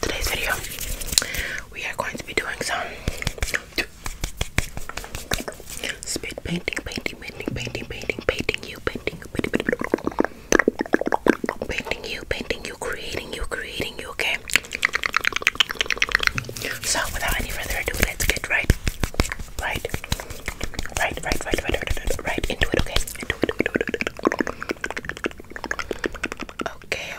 today's video, we are going to be doing some spit painting, painting, painting, painting, painting, painting you, painting you, painting, you, creating you, creating you, okay? So without any further ado, let's get right, right, right, right, right, right, right, into it, okay? Okay,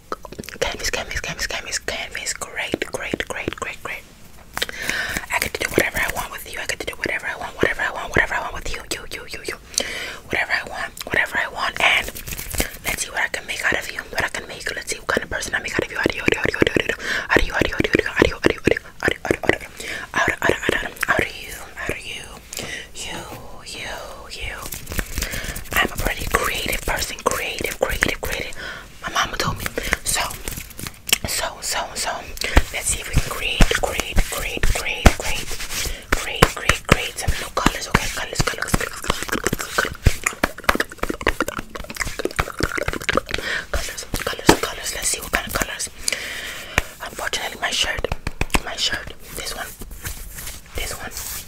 canvas, canvas, canvas, canvas, canvas. Great, great, great, great, great. I get to do whatever I want with you. I get to do whatever I want, whatever I want, whatever I want with you, you, you, you, you. Whatever I want, whatever I want, and let's see what I can make out of you. What I can make. Let's see what kind of person I make out of you. Out of you, out of you, out of you, out of you, out of you, out of you, out of you, out of you, out of you, out of you, out of you, out of you, you, you, you. I'm a pretty creative person. Creative, creative, creative my mama told me. So, so, so, so, let's see if we can create, create, create, create, create, create, create, create some new colors. Okay, colors, colors, colors, colors, colors, colors. Let's see what kind of colors. Unfortunately, my shirt, my shirt, this one, this one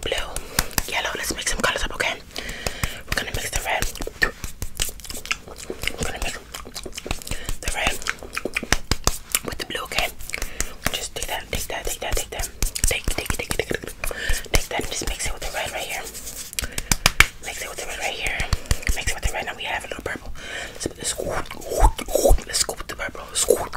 blue, yellow. Let's mix some colors up, okay? We're gonna mix the red. We're gonna mix the red with the blue, okay? Just take that, take that, take that, take that. Take, take, take, take, take, take that and just mix it with the red right here. Mix it with the red right here. Mix it with the red. Now we have a little purple. Let's, let's scoop, let's scoop the purple. Scoop,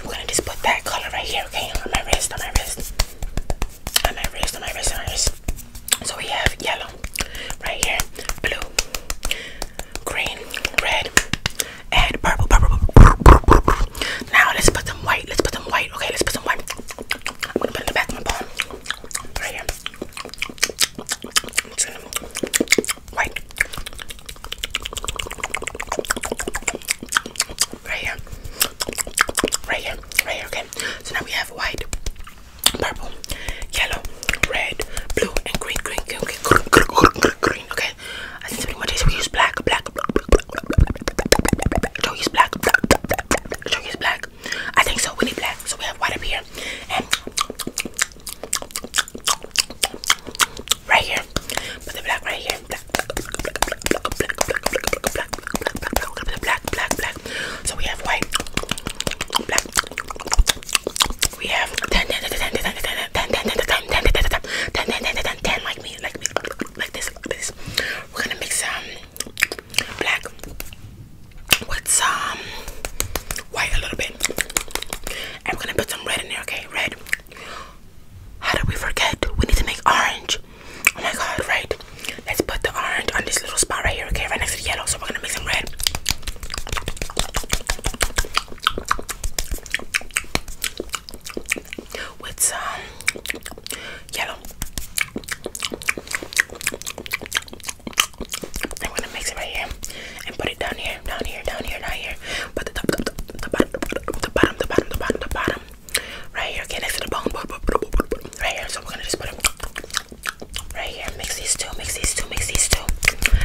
I'm gonna just put that color right here, okay? On my wrist, on my wrist. On my wrist, on my wrist, on my wrist. So we have yellow right here, blue, green, red, and purple, purple, purple, purple, purple. Now let's put some white. Let's put some white. Okay, let's put some white. I'm gonna put it in the back of my palm. Right here. I'm just gonna like right here, right here, right here. Okay, so now we have white, purple, yellow, red, blue, and green. Green, green, green, green, green, green. green okay, I think pretty much is we use black, black. Joe use black. Joe use black. I think so. We need black, so we have white up here and right here. Put the black right here. Black, black, black, black, black, black, black, black, black, black, black, black. So we have white, black. We have ten, ten, ten, ten, ten, ten, ten, ten, ten, ten, ten, ten, ten, ten, ten, ten, like me, like me, like this, like this. We're gonna mix some black with some white a little bit, and we're gonna put some red in there. Okay, red, how did we forget? We need to make orange. Oh my god, right? Let's put the orange on this little spot right here, okay? Right next to the yellow. So we're gonna make some red. With some yellow. I'm gonna mix it right here and put it down here, down here, down here, down here. But the top, the bottom, the bottom, the bottom, the bottom, the bottom, right here. Okay, next to the bone, right here. So we're gonna just put them. right here. Mix these two, mix these two, mix these two,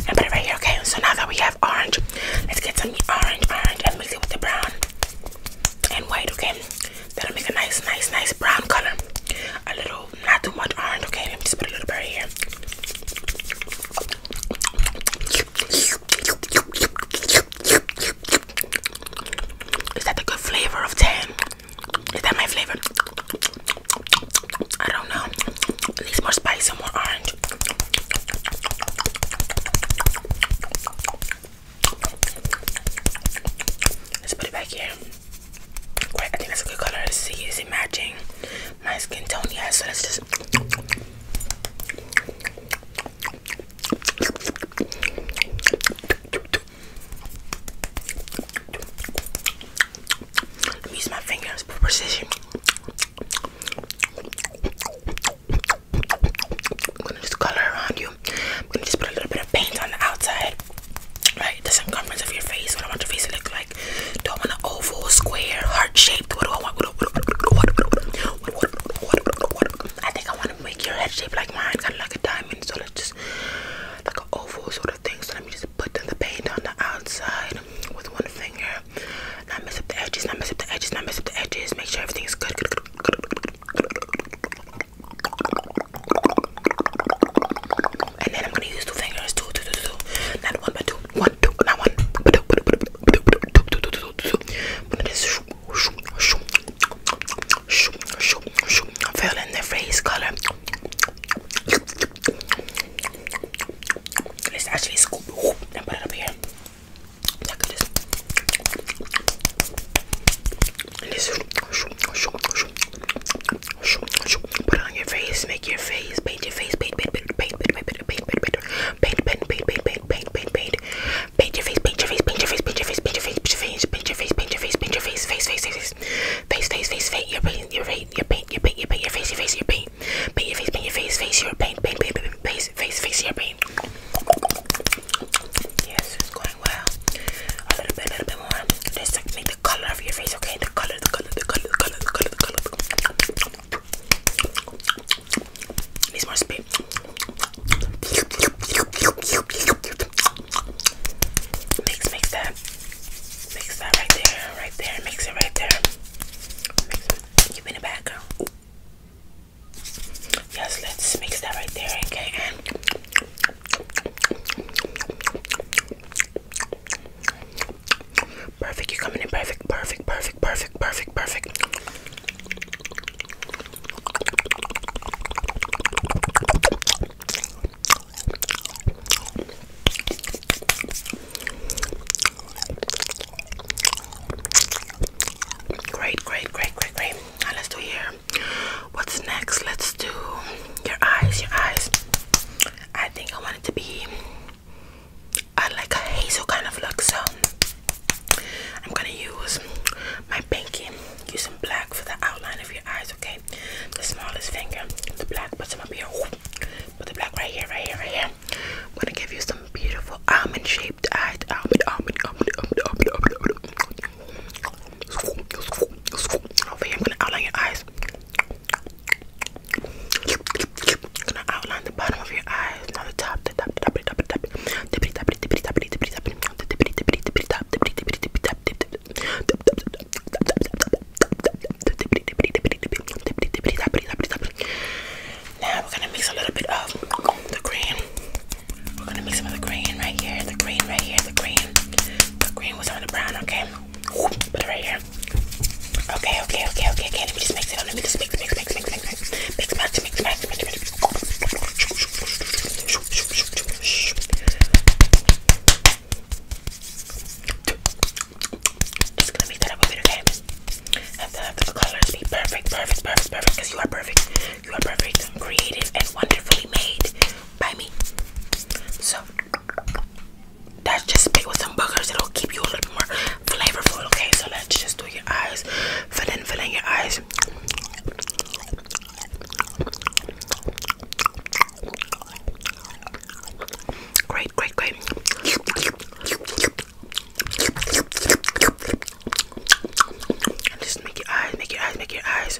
and put it right here. Okay. So now that we have orange, let's get some orange, orange, and mix it with the brown and white. Okay. That'll make a nice, nice, nice brown color. A little, not too much orange. Okay. Let me just put a little bit here. Is that a good flavor of tan? Is that my flavor? I don't know. At least more spice and more orange. Let's put it back here. Wait, I think that's a good color. see, is it matching? my skin tone, yeah. So let's just. use my fingers for precision. I'm gonna just color around you. I'm gonna just put a little bit of paint on the outside, right? The circumference of your face, what I want your face to look like like do I want an oval, square, heart shaped? What do I want? I think I want to make your head shape like mine, kind of like a diamond. So let's just like an oval sort of thing. So let me just put the paint on the outside with one finger. Not mess up the edges. Not mess up the edges. Not mess up the edges. Make sure everything is good. good. And then I'm gonna use two fingers, two, two, two, two, not one but two one, two, not one. Fill in their face color. Let's actually scoop and put it up here. Look at this. And this. Put it on your face, make your face, paint your face, paint, paint, paint, paint, paint, paint, paint, paint, paint, paint, paint, paint, paint, paint, paint, paint, paint your face, paint your face, paint your face, paint your face, paint your face, paint your face, paint your face, paint your face, face, face, face, face, face, face, face, your paint, your paint, your paint, your paint, your paint, your face, your face, your paint, paint your face, paint your face, face, your paint, paint, paint, paint, face, face, face, your paint. Yes, it's going well. A little bit, a little bit more. This technique the color of your face, okay? The color, the color, the color, the color, the color, the color. It needs more spit. Mix, mix that. Mix that right there, right there. Mix it right there. Mix it. Keep in the back, girl. Yes, let's mix that right there, okay? And Perfect, you're coming in perfect, perfect, perfect, perfect, perfect, perfect. Great, great, great, great, great. Now let's do here. What's next? Let's do your eyes, your eyes. I think I want it to be uh, like a hazel kind of look. So I'm gonna use my pinky, use some black for the outline of your eyes. Okay, the smallest finger, the black. Put some up here. Put the black right here, right here, right here. I'm gonna give you some beautiful almond-shaped eyes. Almond, almond, almond, almond, almond, almond. almond. Over here, I'm gonna outline your eyes now we're gonna mix a little bit of the green. We're gonna mix some of the green right here, the green right here, the green, the green with some of the brown, okay? Put it right here. Okay, okay, okay, okay, okay. Let me just mix it on. Let me just mix, mix, mix, mix, mix, mix, mix, mix, mix, mix, mix, mix. Just gonna mix that up a bit, okay? Have the, have the colors be perfect, perfect, perfect, perfect. Because you are perfect. You are perfect, creative, and wonderfully made by me. So. That's just big with some boogers. It'll keep you a little more flavorful. Okay, so let's just do your eyes. Fill in, fill in your eyes. Great, great, great. And just make your eyes, make your eyes, make your eyes.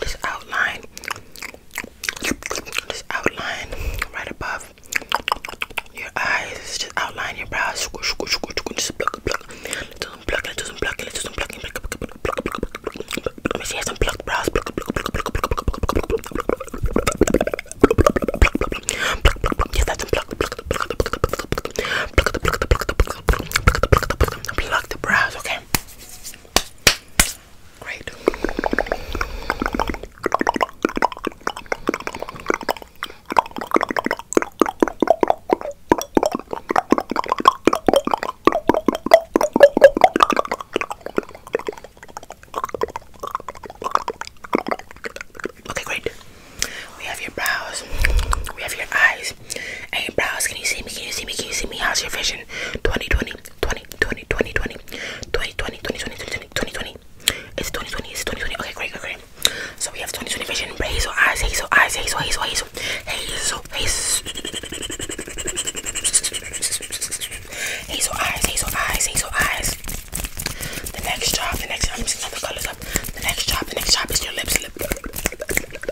this outline, this outline right above your eyes, just outline your brows. Just pluck, pluck, just pluck, just pluck, just pluck, pluck. She has some pluck brows. Yes, that's some pluck, pluck, pluck, pluck, pluck, pluck, pluck, pluck the brows. Okay. Great. Okay, great. We have your brows, we have your eyes, eyes and brows. Can you see me? Can you see me? Can you see me? How's your vision? 2020, 2020, 2020, 2020, 2020, 2020, 2020. It's 2020, it's 2020. Okay, great, great, great. So we have 2020 vision, hazel eyes, hazel eyes, hazel, hazel, hazel, hazel, hazel, hazel eyes, hazel eyes, hazel eyes. The next job, the next job, I'm just gonna colors up. The next job, the next job is your lips, lip, lip, lip, lip, lip,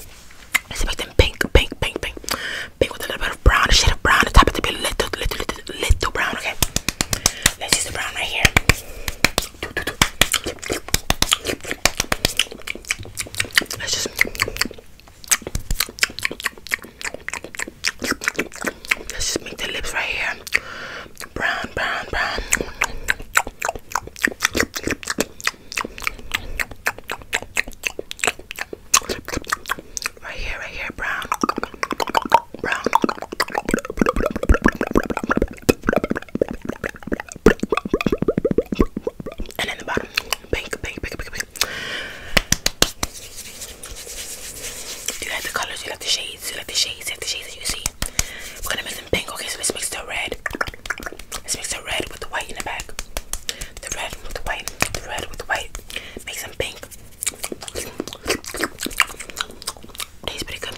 this is make them pink, pink, pink, pink, pink with a little bit of brown, a shade of brown, the top it to little, little, little, little brown. Okay, let's use the brown right here. Let's just make the lips right here brown, brown, brown. Right here, right here, brown. Brown. And then the bottom, pink, pink, pink, pink, pink. Do you like the colors? Do you like the shades? Do you like the shades? Do you like the shades that you see? We're gonna make them pink. Okay, so let's mix the red. mix the red with the white in the back. The red with the white. The red with the white. Make some pink. Tastes pretty good.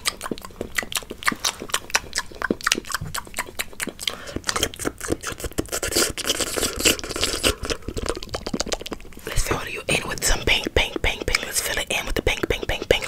Let's fill you in with some pink, pink, pink, pink. Let's fill it in with the pink, pink, pink, pink.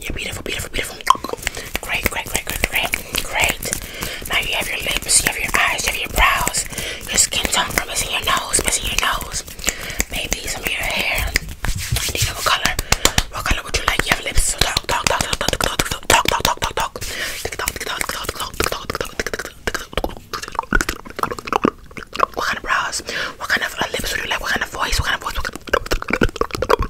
Yeah, beautiful, beautiful, beautiful. Great, great, great, great, great, great. Now you have your lips, you have your eyes, you have your brows, your skin tone from missing your nose, missing your nose. Maybe some of your hair. Do you know what color? What color would you like? You have lips. Talk, talk, talk, talk, talk, talk, talk, talk, talk, talk, talk, talk. What kind of brows? What kind of lips would you like? What kind of voice? What kind of voice? What kind of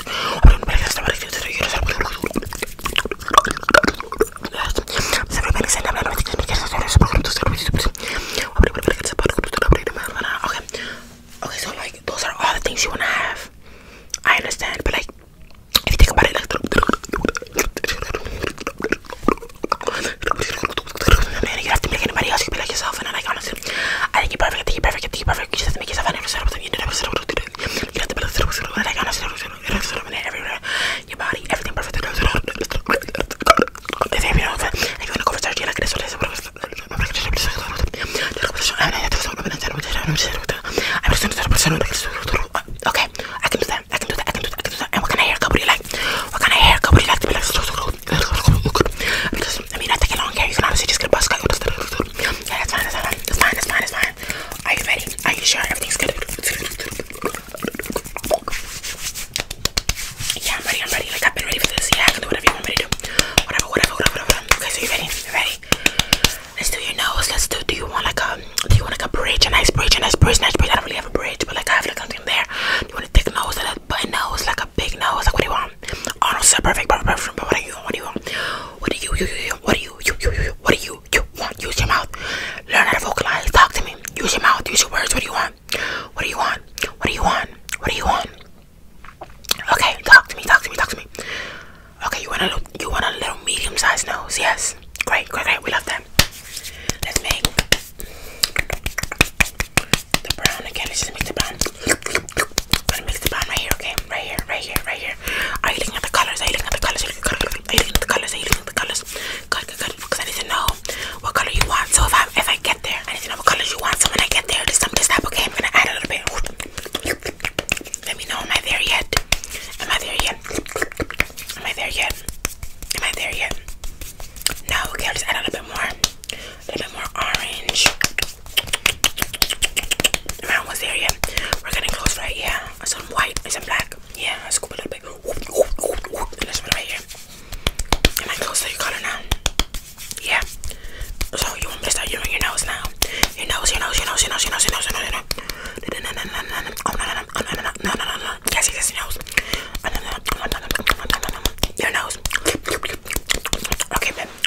Okay. Okay, so like those are all the things you wanna have. I understand, but like if you think about it like you have to make anybody else you be like yourself and I like honestly I think you're perfect, I think you're perfect, I think you're perfect. You just make yourself an extra you never you have to build a like on a everywhere. Your body, everything perfect. If you know if you're gonna go for surgery like this or this, Okay, I can do that. I can do that. I can do that. I can do that. And what kind of haircut would you like? What kind of haircut would you like to be like? I mean, I take a long hair. You can honestly just get a buzz cut. Yeah, that's fine, that's fine. It's fine, it's fine, it's fine. Are you ready? Are you sure everything's good? Yeah, I'm ready, I'm ready. Like I've been ready for this. Yeah, I can do whatever you want me to do. Whatever, whatever, whatever, whatever. Okay, so you ready? You ready? Let's do your nose. Let's do do you want like a do you want like a bridge, a nice bridge, a nice bridge, nice bridge? I don't really have a bridge, but like I have like something there. Do you want a thick nose and a button nose, like a big nose? Like what do you want? I don't say perfect, perfect, perfect, but what do you want? What do you want? What do you, you, you, you, what do you, you, you, you, what do you, you want? Use your mouth. Learn how to vocalize. Talk to me. Use your mouth. Use your words. What do you want? What do you want? What do you want? What do you want? Okay, talk to me. Talk to me. Talk to me. Okay, you want a little, you want a little medium-sized nose? Yes. Great, great, great. We love that. Let's make the brown again. Let's just mix the brown. I'm gonna mix the brown right here, okay? Right here, right here, right here. Are you looking at the colors? Are you looking at the colors? Are you looking at the colors? Are you looking at the colors? Good, good, good. Because I need to know what color you want. So if I if I get there, I need to know what colors you want. So when I get there, this time this time, okay? I'm gonna add a little bit. Let me know. Am I there yet? Am I there yet? Am I there yet? Am I there yet? No, okay, I'll just add a little bit more. A little bit more orange. We're almost there, yeah. We're getting close, right? Yeah. Some white and some black. Yeah, I scoop a little bit. Whoop, whoop, whoop, whoop. And this one right here. Am I close to your color now? Yeah. So you want me to start doing your nose now? Your nose, your nose, your nose, your nose, your nose, your nose, your nose, your nose. No, no, no, no, no, no, oh, no, no, no, no, no, no, no, no, no. Yes, yes, your nose. Your nose. Okay, babe.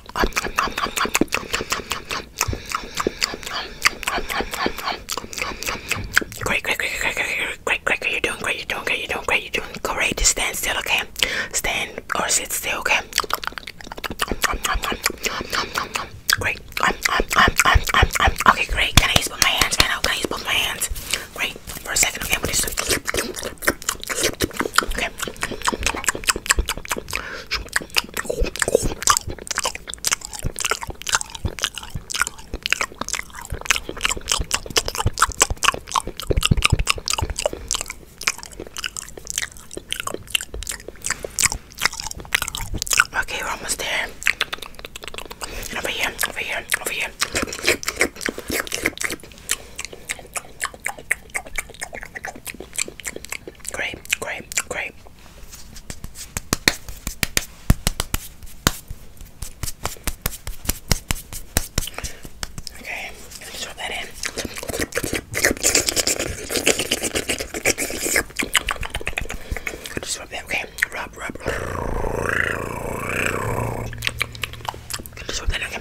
Great, great, great, great, great, great, great, great. You're doing great. You're doing great. You're doing great. You're doing great. Just stand still, okay? Stand or sit still, okay? Great. Okay, great. Can I use both my hands? Can I, can I use both my hands? Great. For a second, okay? I'm gonna just... Okay. Okay, we're almost there. Over here, over here, over here. Great, great, great. Okay, let me drop that in. Just rub that, okay? Rub, rub. Just rub that, okay?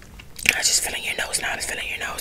I am just feeling your nose now. I am just feeling your nose.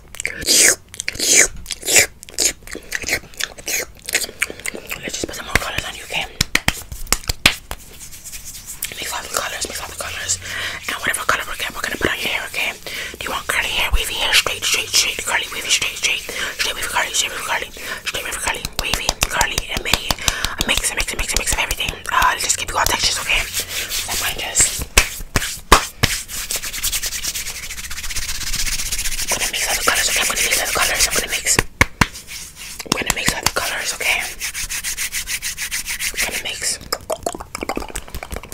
Let's just put some more colors on you, okay? Mix all the colors, mix all the colors. And whatever color we get, we're gonna put on your hair, okay? Do you want curly hair, wavy hair, straight, straight, straight, curly, wavy, straight, straight, straight, wavy, curly, straight, wavy, curly, straight, wavy, curly, wavy, curly, and mini. A mix, a mix, a mix, a mix of everything. Uh, let's just give you all textures, okay? So mine just I'm gonna mix all the colors, okay? I'm gonna mix all the colors. I'm gonna mix.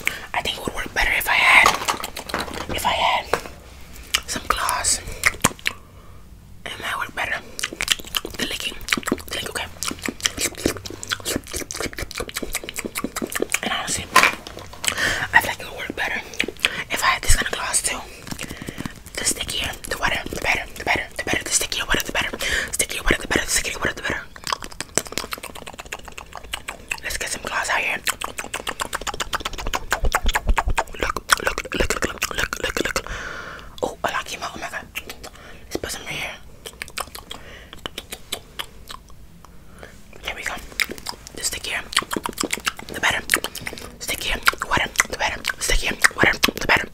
I'm gonna mix other colors, okay? I'm gonna mix. I think it would work better if I had if I had some gloss and that was better. The licking, the licking, okay. And honestly, I feel it would work better if I had this kind of gloss too. The stickier, the wetter, the better, the better, the better, the stickier, wetter, the better, stickier, wetter, the better, stickier, wetter, the better. Let's get some gloss out here look, look, look, look, look, look, look. Oh, a lot came out. Oh my god. Let's put some right here. There we go. The stick here. The better. Stick here. Water. The better. Stick here. Water. The better.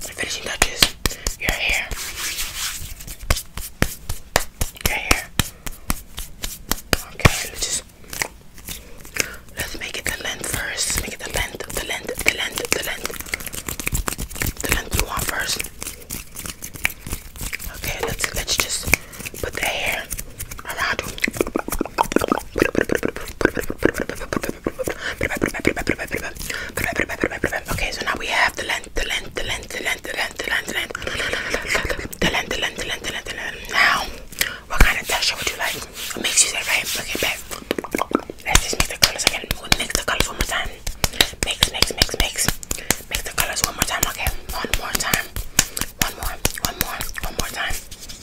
The finishing touches. Your hair. Your hair. Okay, let's just let's make it the length first. Make it the length, the length, the length, the length. The length you want first. Okay, let's let's just put the hair. Okay, so now we have the length, the length, the length, the length, the length, the length, the length, the length, the length, the length, the length, the length. Now, what kind of texture would you like? What makes you say right? Okay, back. Let's just mix the colors again. We'll mix the colors one more time. Mix, mix, mix, mix. Mix the colors one more time. Okay, one more time. One more, one more, one more time. I'm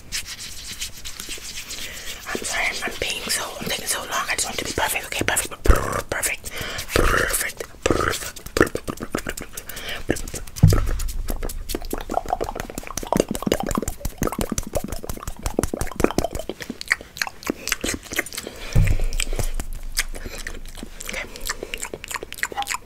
sorry, I'm being so, I'm taking so long. I just want to be perfect, okay? Perfect, perfect, perfect, perfect, perfect. perfect. Okay.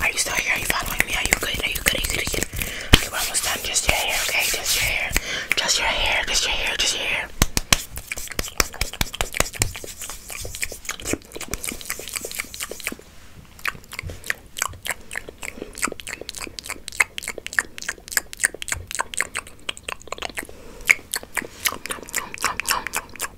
Are you still here? Are you following me? Are you good? Are you good? Are you good? Are you good? Okay, we're almost done. Just your hair, okay? Just your hair. Just your hair. Just your hair. Just your hair. I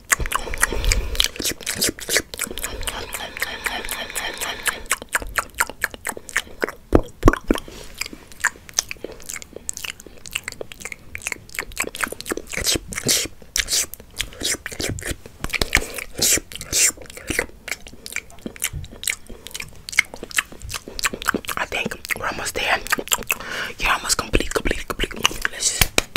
think we're almost there. You're almost complete, complete, complete. Let's just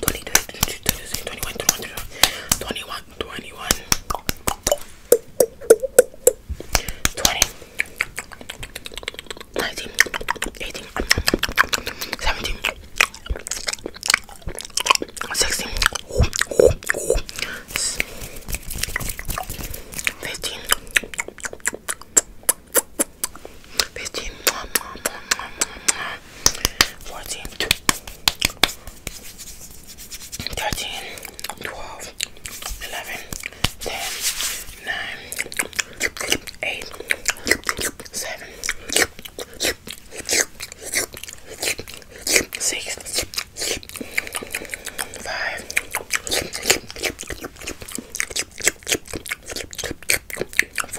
22, 23, 21, 21, 21, 21, 20, 19, 18, 17, 16, 15, 15, 14, 13, 12, 11, 10, 9, 8, 7, 6, 5, 4,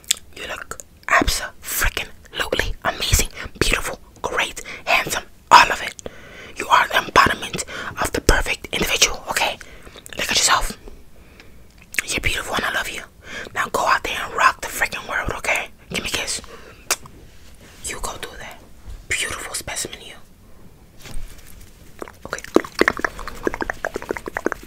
You look absolutely amazing, beautiful, great, handsome, all of it. You are the embodiment of the perfect individual, okay? Look at yourself. You're beautiful and I love you. Now go out there and rock the freaking world, okay? Give me a kiss. You go do that. Beautiful specimen, you. Okay.